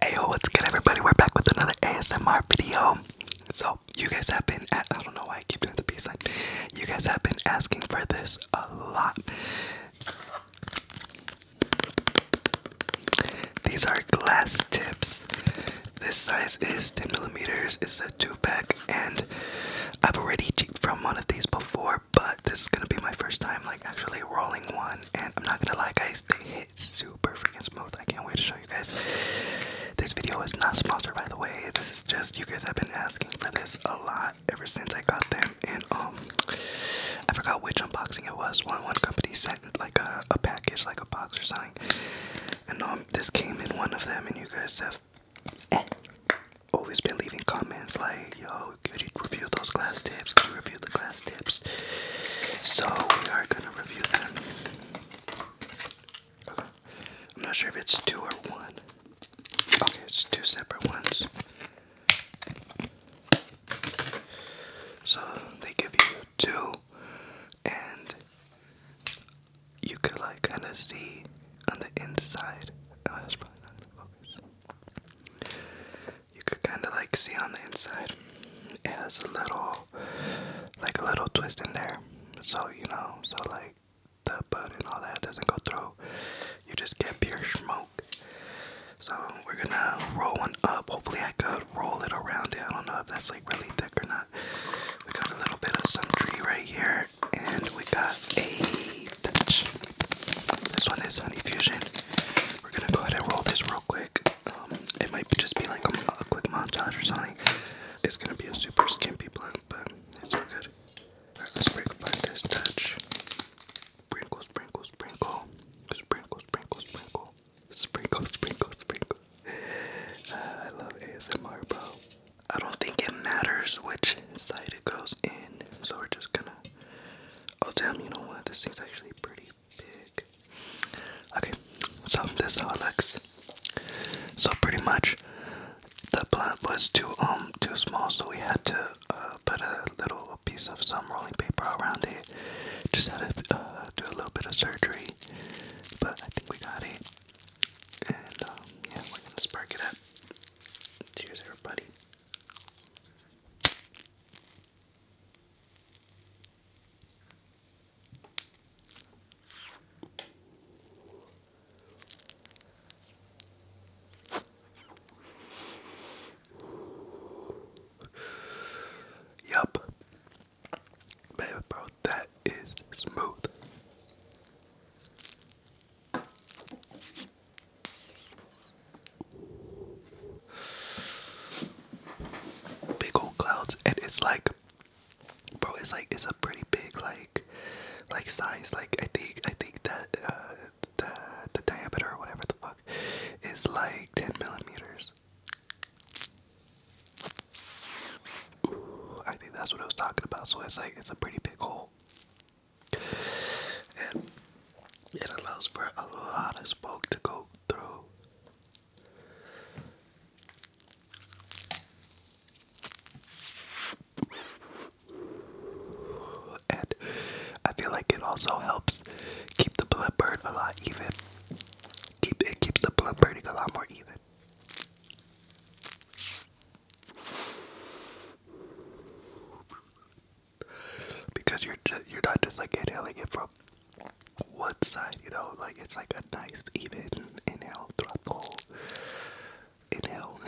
Hey, what's good, everybody? We're back with another ASMR video. So, you guys have been, I don't know why I keep doing the peace sign. You guys have been asking for this a lot. These are glass tips. This size is 10 millimeters. It's a two pack, and I've already cheated from one of these before, but this is gonna be my first time like actually rolling one. And I'm not gonna lie, guys, they hit super freaking smooth. I can't wait to show you guys. This video is not sponsored, by the way. This is just you guys have been asking for this a lot ever since I got them. And um, I forgot which unboxing it was. One one company sent like a, package, like a box or something. And um, this came in one of them. And you guys have always been leaving comments like, "Yo, could you review those glass tips? review the glass tips?" So we are gonna review them. I'm not sure if it's two or one. Okay, it's two separate ones. So they give you two, and you could like kind of see on the inside. Oh, that's probably not in focus. You could kind of like see on the inside. It has a little, like a little twist in there. So you know, so like the bud and all that doesn't go through. You just get pure smoke. So we're gonna roll one up. Hopefully I could roll it around it. I don't know if that's like really thick or not. We got a little bit of some tree right here, and we got a touch. This one is Honey Fusion. We're gonna go ahead and roll this real quick. Um, it might just be like a, a quick montage or something. It's gonna be a super skimpy blunt, but it's all good. Alright, let's break apart this touch. Sprinkle, sprinkle, sprinkle. Sprinkle, sprinkle, sprinkle. Sprinkle, sprinkle, sprinkle. Uh, I love ASMR, bro. I don't think it matters which side it goes in, so we're just gonna. Oh, damn, you know what? This thing's actually pretty big. Okay, so this is how it looks. So, pretty much, the plant was too um too small, so we had to uh, put a little piece of some rolling paper around it. Just had to uh, do a little bit of surgery, but I think we got it. And um, yeah, we're gonna spark it up. Cheers, everybody. Yup. Man, bro, that is smooth. Big old clouds, and it's like Bro, it's like it's a pretty big like like size. Like I think I think that uh the the diameter or whatever the fuck is like ten millimeters. I think that's what I was talking about. So it's like it's a pretty big hole. And it allows for a lot of smoke to go through. And I feel like it also helps keep the blood burn a lot even. Keep it keeps the blood burning a lot more even. Because you're you're not just like inhaling it from one side, you know, like it's like a nice even inhale throughout the inhale.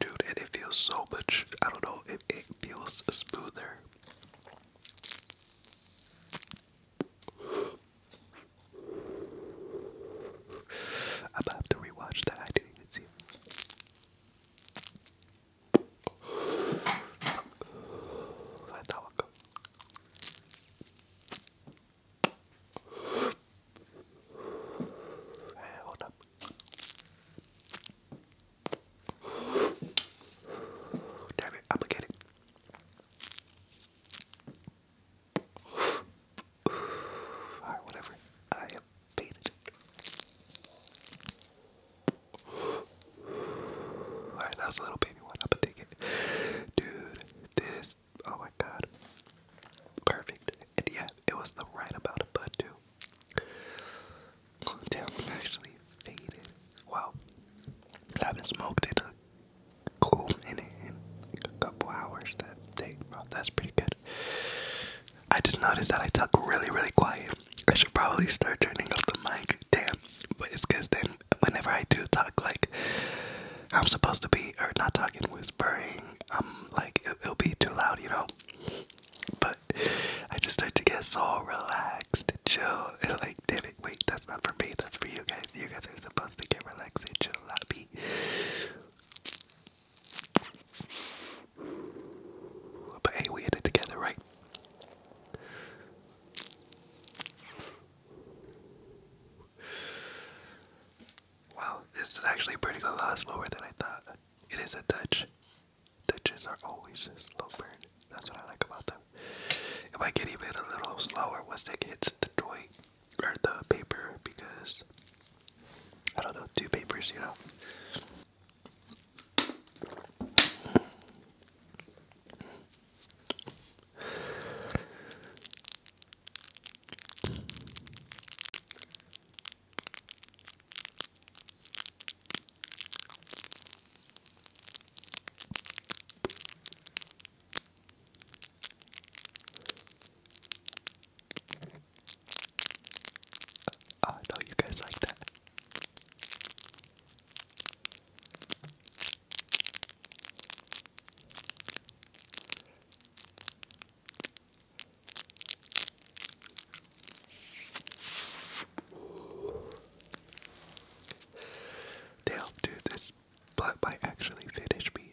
Dude, and it feels so much, I don't know, it, it feels smoother. I'm about to rewatch that, I didn't even see Vai dar bakalım. Hey, what up? Damn it, I'ma get it. Alright, whatever. I am Alright, that was a little baby one. I'm going Dude, this. Oh my god. Perfect. And yeah, it was the right amount of bud, too. Damn, actually faded. Wow. I haven't smoked in cool minute a couple hours that day. Wow, that's pretty good. I just noticed that I talk really, really quiet. I should probably start turning off the mic. Damn. But it's because then whenever I do talk, like, I'm supposed to be, or not talking, whispering, I'm like, it, will be too loud, you know? But I just start to get so relaxed and chill. And like, damn wait, that's not for me, that's for you guys. You guys are supposed to get relaxed and chill, not me. But hey, we had it together, right? Wow, this is actually pretty good. A lot slower than I thought. It is a Dutch. Ditches are always slow burn. That's what I like about them. It might get even a little slower once it hits the toy or the paper because I don't know, two papers, you know. Uh, I know you guys like that. Damn, dude, this blood might actually finish me.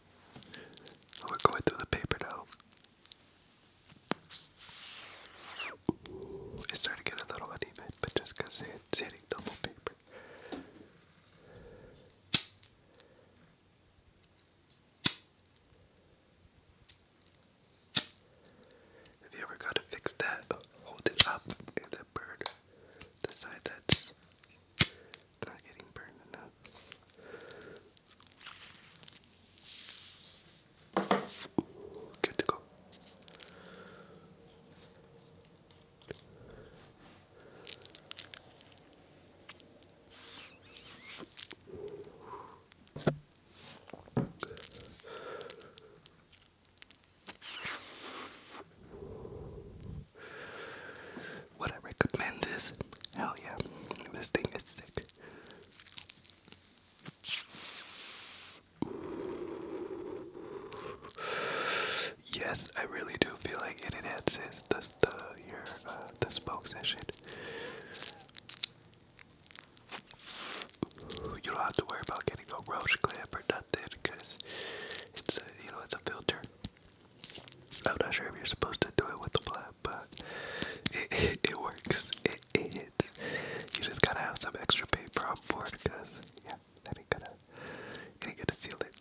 We're going through the paper now. it's starting to get a little uneven, but just it's hitting double paper. Have you ever got to fix that? Hold it up and then burn the side not getting burned enough. Good to go. What I recommend is, Hell yeah. This thing is sick. Yes, I really do feel like it enhances the the your uh, the smoke session. You don't have to worry about getting a roach clip or nothing, cause it's you know it's a filter. I'm not sure if you're supposed to do it with the black, but it, it, works. It, it hits. You just gotta have some extra paper on board because, yeah, that ain't gonna, it ain't to seal it.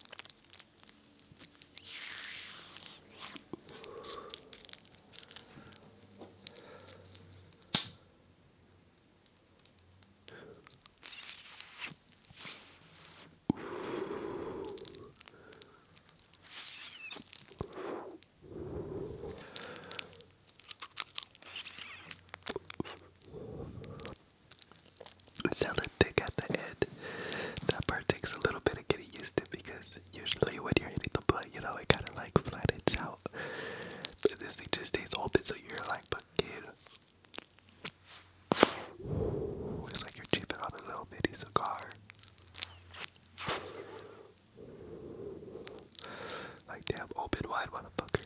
It's thick at the end. That part takes a little bit of getting used to because usually when you're hitting the blood, you know, it kind of like flattens out. But this thing just stays open so you're like, but Looks like you're cheaping on a little bitty cigar. Like damn open wide motherfucker.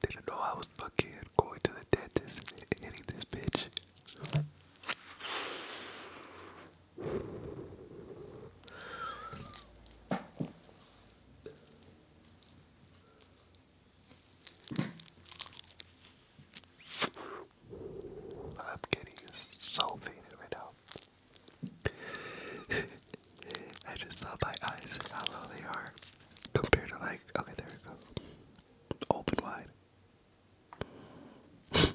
Didn't know I was fucking going to the dentist and hitting this bitch. I'm getting so faded right now. I just saw my eyes how low they are compared to like okay there it goes. Open wide.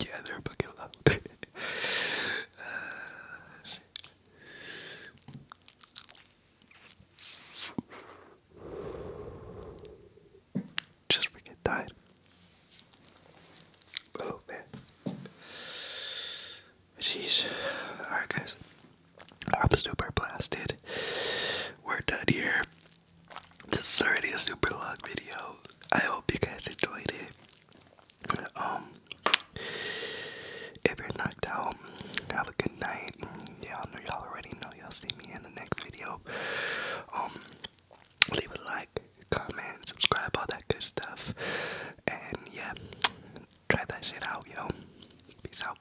Yeah, they're fucking loud. just freaking died. Oh man. Jeez. Alright guys. I'm super blasted. We're done here. This is already a super long video. I hope you guys enjoyed it. Um, if you're knocked out, have a good night. Y'all know y'all already know. Y'all see me in the next video. Um, leave a like, comment, subscribe, all that good stuff. And yeah, try that shit out, yo. Peace out.